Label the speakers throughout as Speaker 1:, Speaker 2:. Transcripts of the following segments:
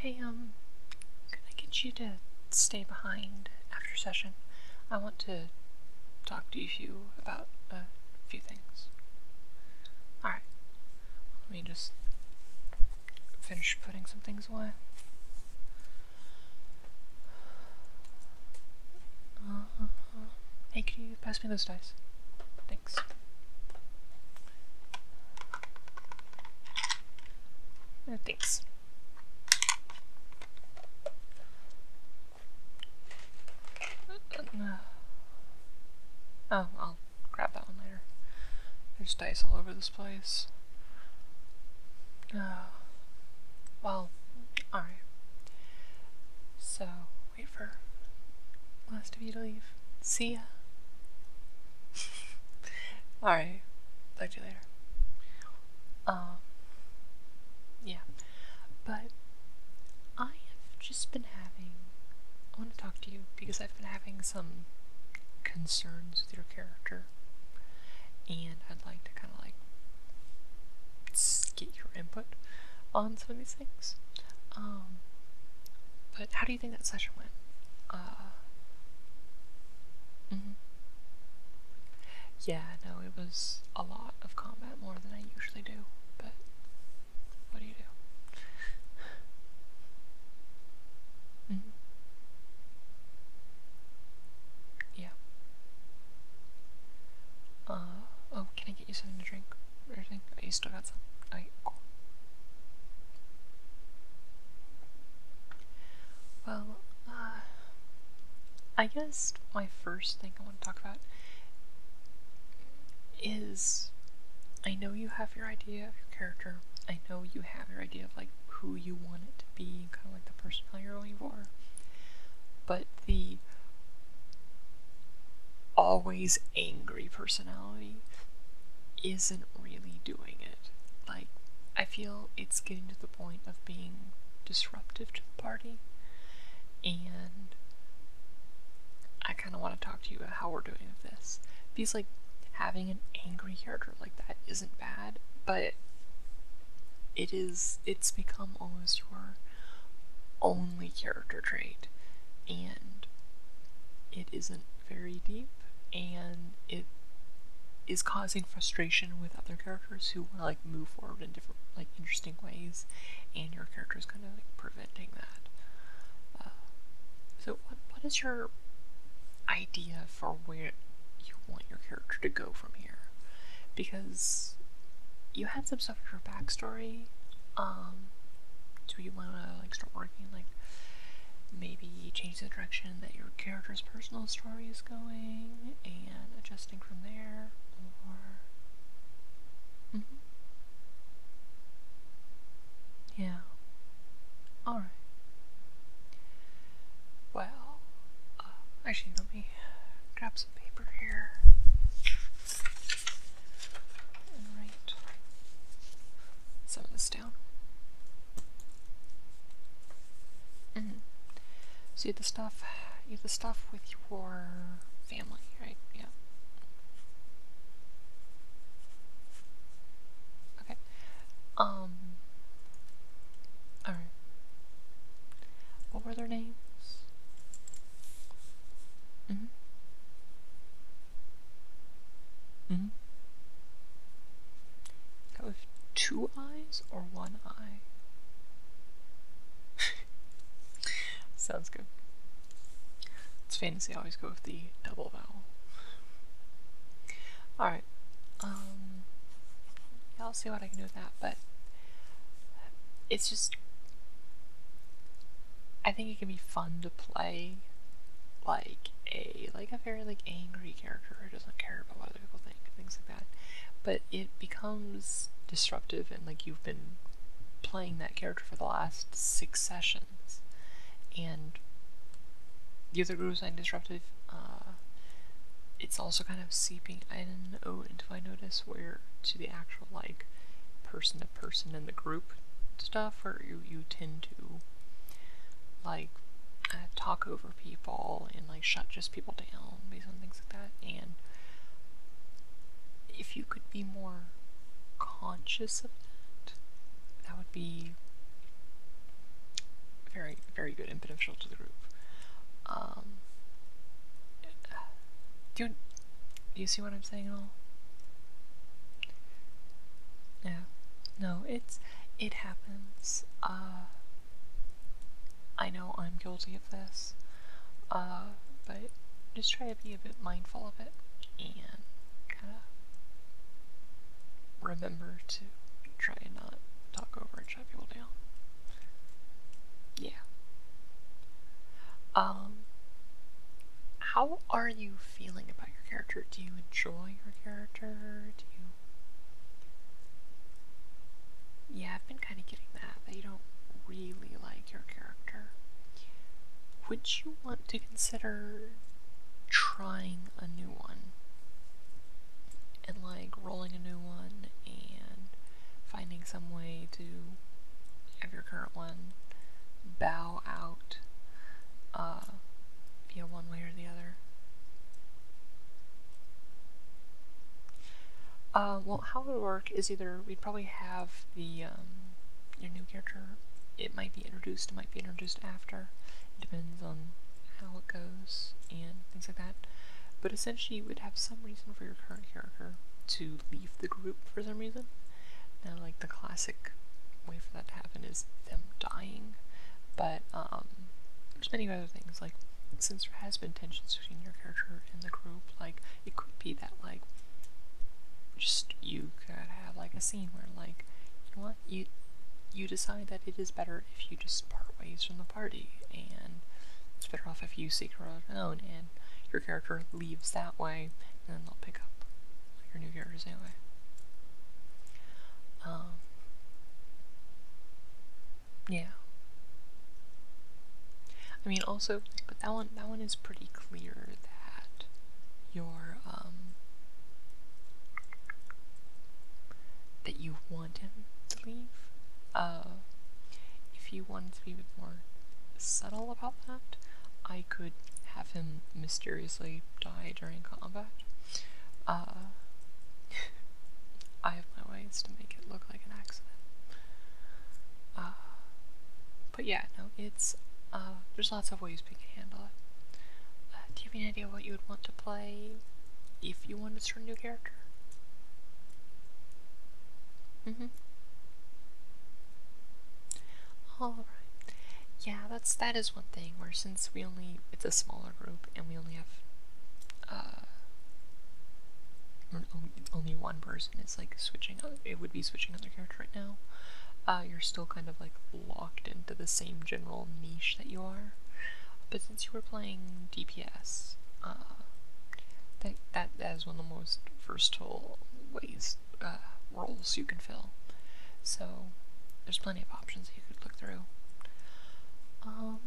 Speaker 1: Hey, um, can I get you to stay behind after session? I want to talk to you about a few things. Alright, let me just finish putting some things away. Uh-huh. hey, can you pass me those dice? Thanks. Uh, thanks. Uh, uh, oh, I'll grab that one later. There's dice all over this place. Oh. Well, alright. So, wait for last of you to leave. See ya. Alright. Talk to you later. Um yeah. But I have just been having I want to talk to you because I've been having some concerns with your character and I'd like to kind of like get your input on some of these things. Um, but how do you think that session went? Uh, -hmm. Yeah, no, it was a lot of combat, more than I usually do, but what do you do? -hmm. Yeah. Uh, oh, can I get you something to drink? everything? Oh, you still got some? Okay, oh, Well, uh, I guess my first thing I want to talk about is I know you have your idea of your character. I know you have your idea of like who you want it to be, kind of like the personality you are. going for. But the always angry personality isn't really doing it. Like, I feel it's getting to the point of being disruptive to the party, and I kind of want to talk to you about how we're doing with this. Because, like, having an angry character like that isn't bad, but it is, it's become almost your own only character trait, and it isn't very deep, and it is causing frustration with other characters who want to like move forward in different like interesting ways, and your character is kind of like preventing that. Uh, so, what what is your idea for where you want your character to go from here? Because you had some stuff you backstory. Um, do you want to like start working like maybe change the direction that your character's personal story is going and adjusting from there, mm-hmm. yeah. All right. Well, uh, actually, let me grab some paper here write some of this down. Mm So you have the stuff, you the stuff with your family, right? Yeah. Okay. Um. All right. What were their names? Mm-hmm. Mm-hmm. That two eyes or one eye? Sounds good. It's fancy. I always go with the double vowel. Alright. Um, I'll see what I can do with that, but it's just I think it can be fun to play like a like a very like angry character who doesn't care about what other people think, things like that. But it becomes disruptive and like you've been playing that character for the last six sessions. And the other group is saying disruptive, uh, it's also kind of seeping in oh, into I notice where to the actual like person person in the group stuff or you, you tend to like uh, talk over people and like shut just people down based on things like that and if you could be more conscious of that that would be very very good and beneficial to the group um, do you see what I'm saying at all? Yeah. No, it's it happens. Uh, I know I'm guilty of this. Uh, but just try to be a bit mindful of it and remember to try and not talk over and shut people down. Yeah. Um, how are you feeling about your character? Do you enjoy your character? Do you. Yeah, I've been kind of getting that, that you don't really like your character. Would you want to consider trying a new one? And like rolling a new one and finding some way to have your current one bow out, uh, one way or the other. Uh, well, how it would work is either we'd probably have the um, your new character. It might be introduced. It might be introduced after. It depends on how it goes and things like that. But essentially, you would have some reason for your current character to leave the group for some reason. Now, like the classic way for that to happen is them dying, but um, there's many other things. Like since there has been tensions between your character and the group, like it could be that like just you could have like a scene where like you know what you you decide that it is better if you just part ways from the party and it's better off if you seek her own. alone your character leaves that way, and then they'll pick up your new characters anyway. Um, yeah. I mean, also, but that one, that one is pretty clear that your, um, that you want him to leave. Uh, if you wanted to be a bit more subtle about that, I could have him mysteriously die during combat. Uh, I have my ways to make it look like an accident. Uh, but yeah, no, it's, uh, there's lots of ways we can handle it. do you have an idea what you would want to play if you wanted to start a new character? Mm-hmm. Alright. Yeah, that's that is one thing where since we only it's a smaller group and we only have uh only one person it's like switching it would be switching other character right now. Uh, you're still kind of like locked into the same general niche that you are. But since you were playing DPS. Uh, that, that is one of the most versatile ways, uh, roles you can fill. So, there's plenty of options you could look through. Um,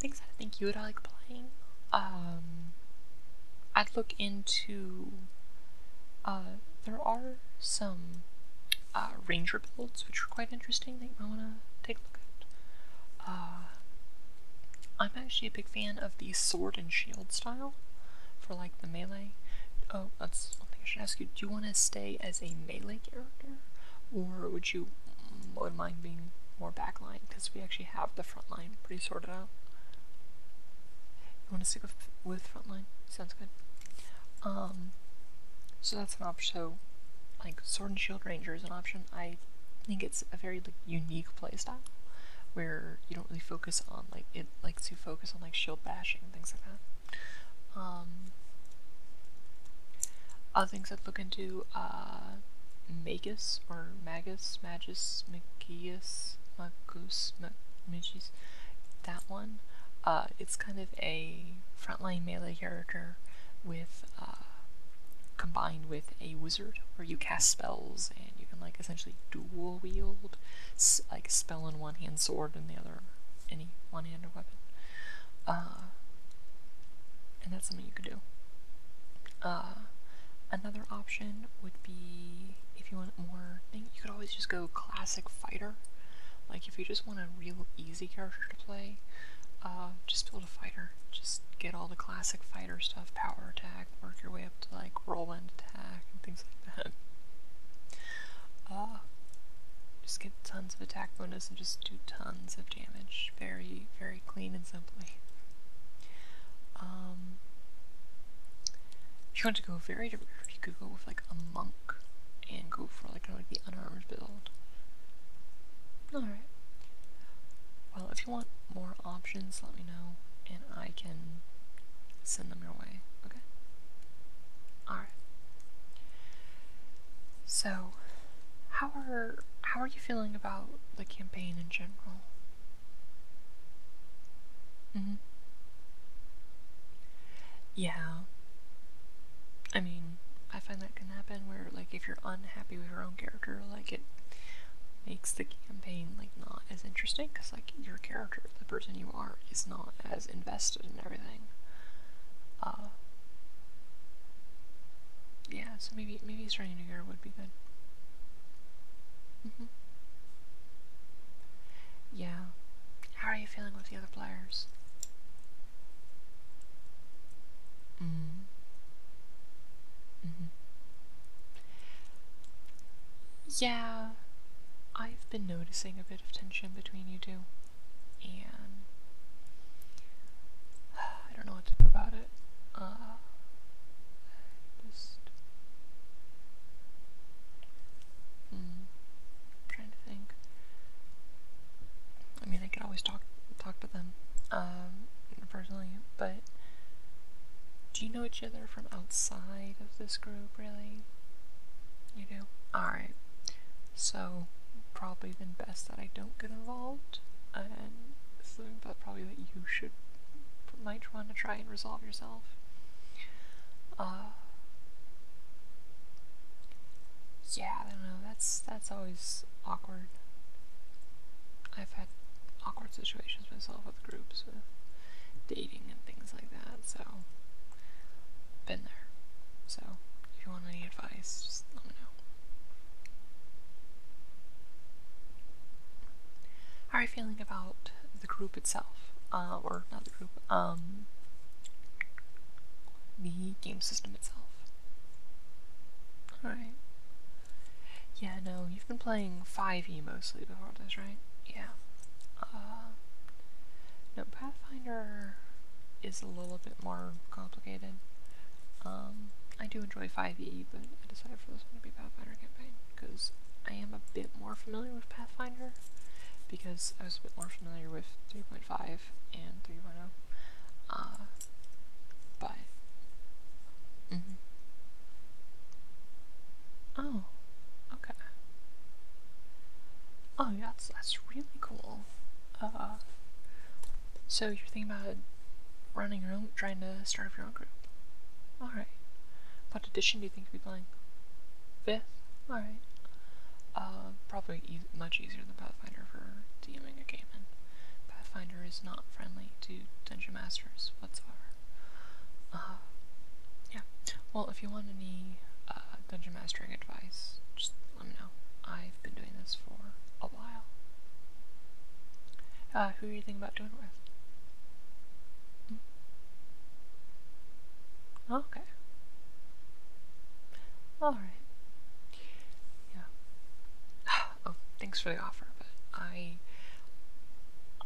Speaker 1: things I think you would like playing. Um, I'd look into. Uh, there are some uh, ranger builds which are quite interesting that you might want to take uh, I'm actually a big fan of the sword and shield style for like the melee. Oh, that's one thing I should ask you. Do you want to stay as a melee character, or would you would mind being more backline? Because we actually have the front line pretty sorted out. You want to stick with front line? Sounds good. Um, so that's an option. So, like sword and shield ranger is an option. I think it's a very like unique playstyle where you don't really focus on like it likes to focus on like shield bashing and things like that. Um, other things I'd look into uh, Magus or Magus, Magus, Magius, Magus, Magis, that one. Uh, it's kind of a frontline melee character with uh, combined with a wizard where you cast spells and you can like essentially dual wield like spell in one hand, sword in the other, any one-handed weapon. Uh, and that's something you could do. Uh, another option would be if you want more you could always just go classic fighter. Like if you just want a real easy character to play, uh, just build a fighter. Just get all the classic fighter stuff, power attack, work your way up to like roll and attack and things like that. Uh, just get tons of attack bonus and just do tons of damage, very, very clean and simply. Um, if you want to go very direct, you could go with like a monk and go for like, kind of the unarmored build. Alright. Well, if you want more options, let me know, and I can send them your way, okay? Alright. So, how are how are you feeling about the campaign in general? hmm Yeah. I mean, I find that happen where like if you're unhappy with your own character like it makes the campaign like not as interesting because like your character the person you are is not as invested in everything uh yeah so maybe maybe starting a new year would be good mm-hmm. yeah how are you feeling with the other players Mm-hmm. Mm-hmm. Yeah, I've been noticing a bit of tension between you two, and I don't know what to do about it. Uh, just mm, trying to think. I mean, I can always talk talk to them um, personally, but do you know each other from outside of this group, really? You do? Alright. So, probably the best that I don't get involved, and so, but probably that you should might want to try and resolve yourself. Uh, yeah, I don't know. That's that's always awkward. I've had awkward situations myself with groups, with dating and things like that, so been there. So if you want any advice, just let me know. How are you feeling about the group itself? Uh, or not the group, um, the game system itself. Alright. Yeah, no, you've been playing 5e mostly before this, right? Yeah. Uh, no, Pathfinder is a little bit more complicated. Um, I do enjoy 5e, but I decided for this one to be Pathfinder campaign, because I am a bit more familiar with Pathfinder, because I was a bit more familiar with 3.5 and 3.0. Uh, but. Mm -hmm. Oh, okay. Oh, that's, that's really cool. Uh, so you're thinking about running your own, trying to start up your own group. Alright. What edition do you think you would be playing? Fifth? Alright. Uh, probably much easier than Pathfinder for DMing a game in. Pathfinder is not friendly to Dungeon Masters whatsoever. Uh, yeah. Well, if you want any uh, Dungeon Mastering advice, just let me know. I've been doing this for a while. Uh, who are you thinking about doing with? Hmm. Okay. Alright. Yeah. oh, thanks for the offer, but I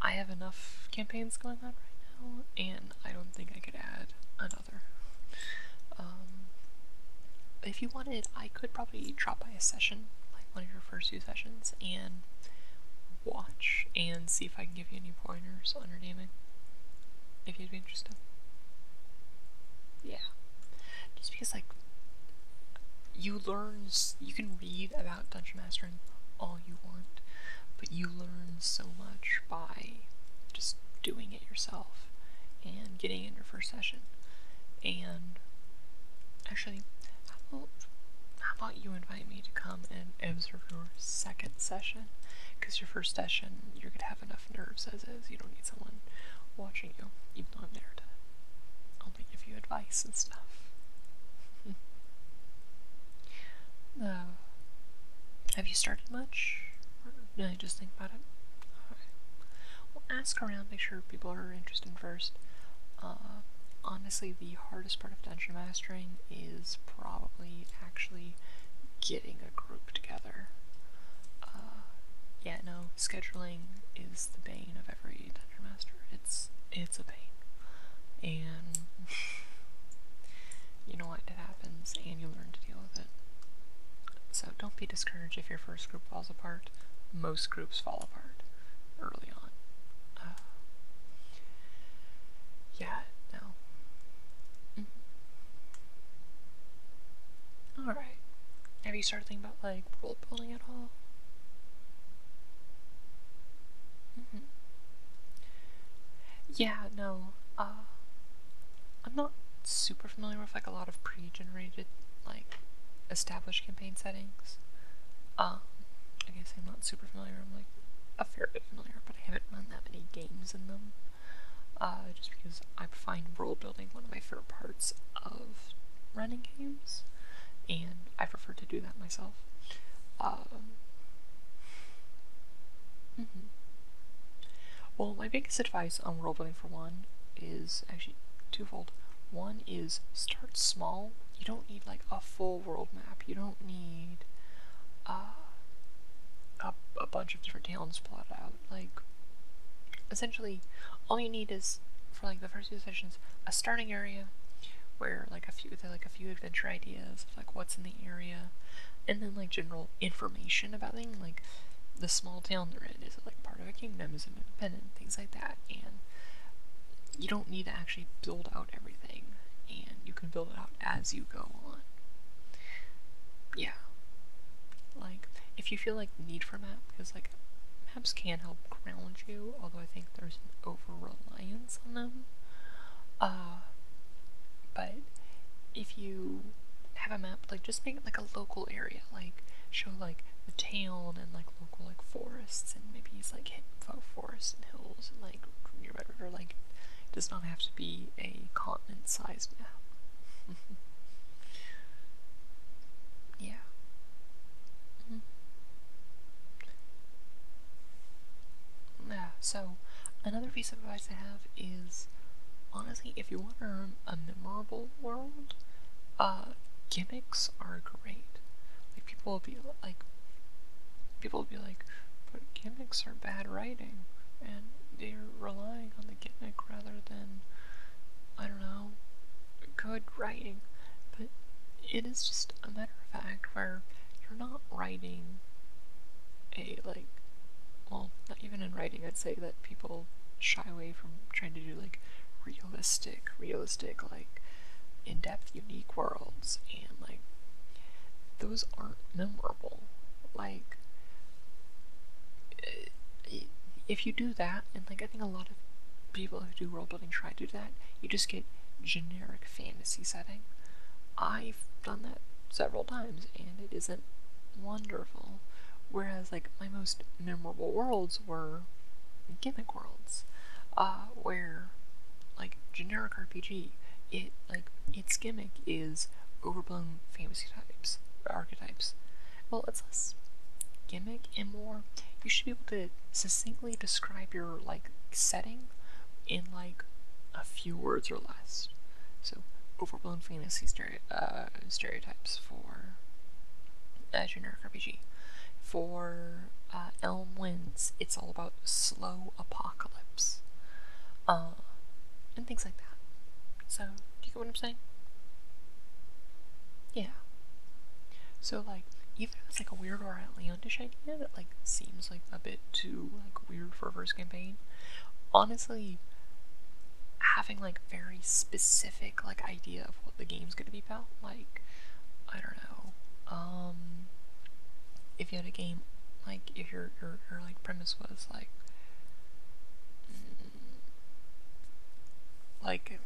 Speaker 1: I have enough campaigns going on right now, and I don't think I could add another. Um, if you wanted, I could probably drop by a session, like one of your first few sessions, and watch and see if I can give you any pointers on your naming, if you'd be interested. Yeah. Just because, like, you learn, you can read about dungeon mastering all you want, but you learn so much by just doing it yourself and getting in your first session. And actually, how about, how about you invite me to come and observe your second session? Because your first session, you're gonna have have enough nerves as is. You don't need someone watching you, even though I'm there to only give you advice and stuff. have you started much? no, I just think about it? ask around, make sure people are interested first. Uh, honestly, the hardest part of dungeon mastering is probably actually getting a group together. Uh, yeah, no, scheduling is the bane of every dungeon master. It's it's a pain. And you know what, it happens and you learn to deal with it. So don't be discouraged if your first group falls apart. Most groups fall apart early on. Uh, yeah, no. Mm-hmm. Alright. Have you started thinking about like world building at all? Mm-hmm. Yeah, no. Uh, I'm not super familiar with like a lot of pre-generated like established campaign settings. Um I guess I'm not super familiar, I'm like a fair bit familiar, but I haven't run that many games in them. Uh, just because I find world building one of my favorite parts of running games, and I prefer to do that myself. Um, mhm. Well, my biggest advice on world building for one is actually twofold. One is start small. You don't need like a full world map. You don't need uh, a, a bunch of different towns plotted out. Like essentially all you need is for like the first few sessions a starting area where like a few like a few adventure ideas like what's in the area and then like general information about things like the small town they're in is it like part of a kingdom is it independent things like that and you don't need to actually build out everything and you can build it out as you go on yeah like if you feel like need for a map because like maps can help ground you although i think there's an over reliance on them uh but if you have a map like just make it like a local area like show like the town and like local like forests and maybe it's like forests and hills and like near red river like it does not have to be a continent sized map yeah. Mm-hmm. Yeah, so another piece of advice I have is honestly, if you want to earn a memorable world, uh, gimmicks are great. Like, people will be like, people will be like, but gimmicks are bad writing, and they're relying on the the rather than, I don't know, good writing. But it is just a matter of fact where you're not writing a, like, well, not even in writing, I'd say that people shy away from trying to do, like, realistic, realistic, like, in-depth, unique worlds, and, like, those aren't memoir like, eh, if you do that, and like I think a lot of people who do world building try to do that, you just get generic fantasy setting. I've done that several times, and it isn't wonderful. Whereas, like, my most memorable worlds were gimmick worlds, uh, where, like, generic RPG, it, like, its gimmick is overblown fantasy types, archetypes. Well, it's less gimmick and more you should be able to succinctly describe your like setting in like a few words or less. So overblown fantasy uh, stereotypes for a uh, generic RPG. For uh, Elm Winds, it's all about slow apocalypse and things like that. So, do you get what I'm saying? Yeah. So, like, even it's like a weird or a outlandish idea that like seems like a bit too like weird for a first campaign, honestly, having like very specific like idea of what the game's gonna be about, like I don't know, um, if you had a game like if your your, your like premise was like mm, like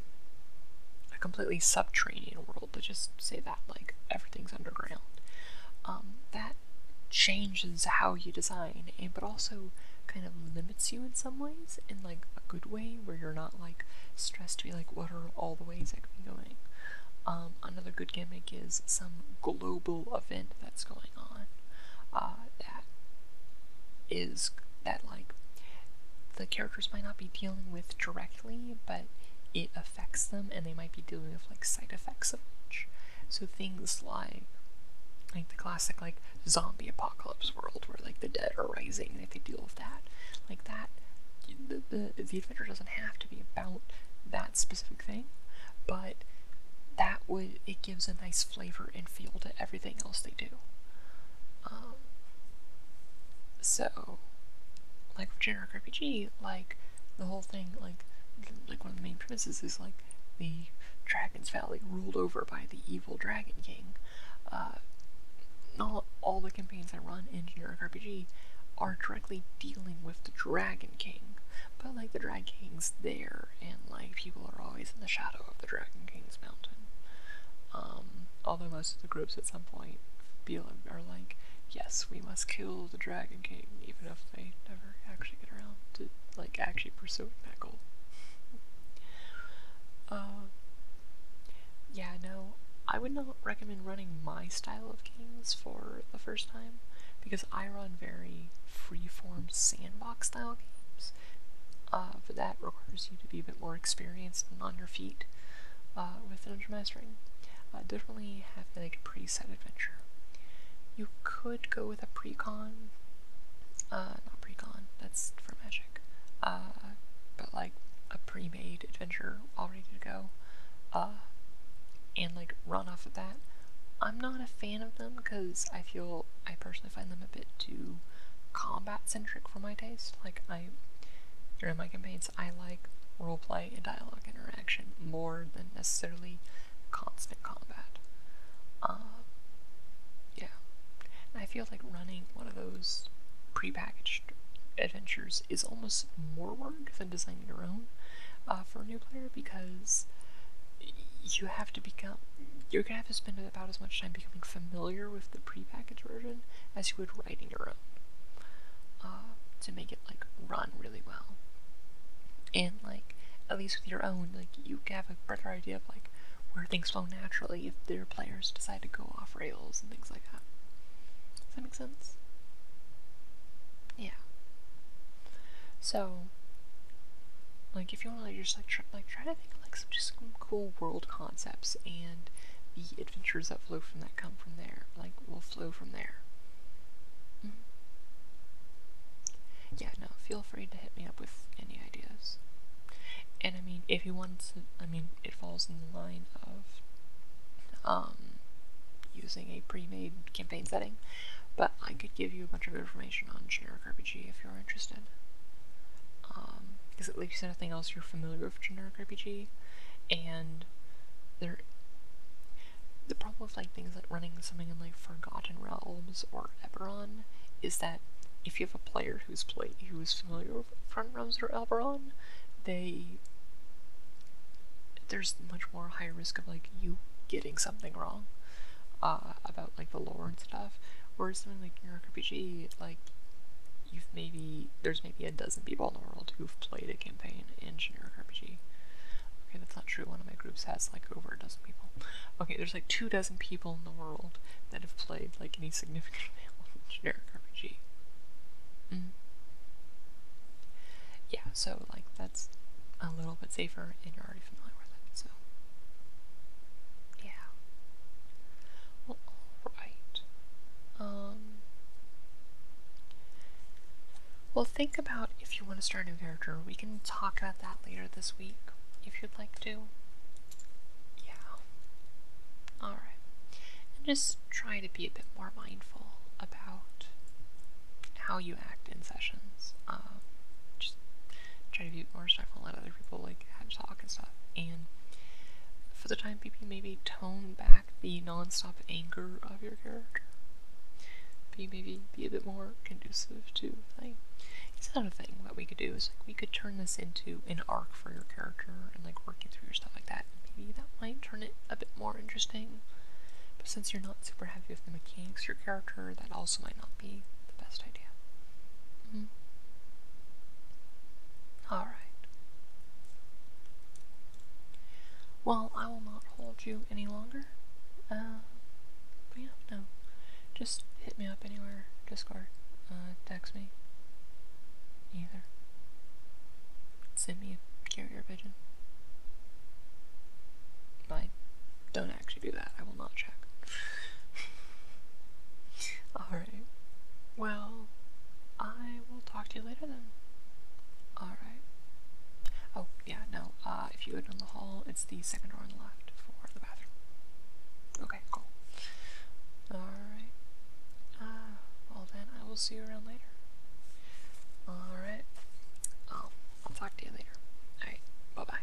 Speaker 1: a completely subterranean world to just say that like everything's underground um, that changes how you design but also kind of limits you in some ways in like a good way where you're not like stressed to be like what are all the ways i could be going um, another good gimmick is some global event that's going on uh, that is that like the characters might not be dealing with directly, but it affects them, and they might be dealing with like side effects of which. So things like like the classic like zombie apocalypse world where like the dead are rising and if they deal with that like that the, the adventure doesn't have to be about that specific thing, but that would it gives a nice flavor and feel to everything else they do. Um, so, like with generic RPG, like the whole thing, like like one of the main premises is like the Dragon's Valley ruled over by the evil Dragon King. Uh, all, all the campaigns I run in generic RPG are directly dealing with the Dragon King, but like the Dragon King's there, and like people are always in the shadow of the Dragon King's mountain. Um, although most of the groups at some point feel are like, yes, we must kill the Dragon King, even if they never actually get around to like actually pursuing that goal. Uh, yeah, no, I would not recommend running my style of games for the first time because I run very freeform sandbox style games, but uh, that requires you to be a bit more experienced and on your feet uh, with dungeon mastering. Uh, definitely have like a preset adventure. You could go with a precon, not precon, that's for magic, but like a pre-made adventure all ready to go, and like run off of that. I'm not a fan of them because I feel I personally find them a bit too combat centric for my taste. Like I during my campaigns I like roleplay and dialogue interaction more than necessarily constant combat. Um, yeah. I feel like running one of those prepackaged adventures is almost more work than designing your own uh, for a new player because you have to become you're gonna have to spend about as much time becoming familiar with the prepackaged version as you would writing your own uh, to make it like run really well. And like at least with your own, like you have a better idea of like where things flow naturally if their players decide to go off rails and things like that. Does that make sense? Yeah. So, like, if you want to just like try, like try to think of, like some just some cool world concepts and the adventures that flow from that come from there, like will flow from there. Mm-hmm. Yeah, no, feel free to hit me up with any ideas. And I mean, if you want to, I mean, it falls in the line of um using a pre-made campaign setting. But I could give you a bunch of information on generic RPG if you're interested. Um, because at least anything else you're familiar with generic RPG, and there. The problem with like things like running something in like Forgotten Realms or Eberron is that if you have a player who's play who is familiar with Forgotten Realms or Eberron, they there's much more high risk of like you getting something wrong uh, about like the lore and stuff. or something like your RPG, like you've maybe there's maybe a dozen people in the world who've played a campaign in generic RPG. Okay, that's not true. One of my groups has like over a dozen people. Okay, there's like two dozen people in the world that have played like any significant amount of generic RPG. Mm-hmm. Yeah, so like that that's a little bit safer and you're already familiar with it, so yeah. Well, alright. Um, well, think about if you want to start a new character. We can talk about that later this week if you'd like to. Yeah. Alright. And just try to be a bit more mindful about how you act in sessions. Um, just try to be more respectful, let other people like have talk and stuff. And for the time being, maybe tone back the nonstop anger of your character. Be maybe be a bit more conducive to things. It's another thing that we could do is like we could turn this into an arc for your character and like working through your stuff like that. Maybe that might turn it a bit more interesting. But since you're not super happy with the mechanics of your character, that also might not be the best idea. Mm-hmm. Alright. Well, I will not hold you any longer. Uh, but yeah, no. Just hit me up anywhere. Discord. Uh, text me. Either send me a carrier pigeon. I don't actually do that. I will not check. Alright. Well, I will talk to you later then. Alright. Oh, yeah, no. Uh, if you go down the hall, it's the second door on the left for the bathroom. Okay, cool. Alright. Uh, well then, I will see you around later. Alright. I'll, talk to you later. Alright, bye bye.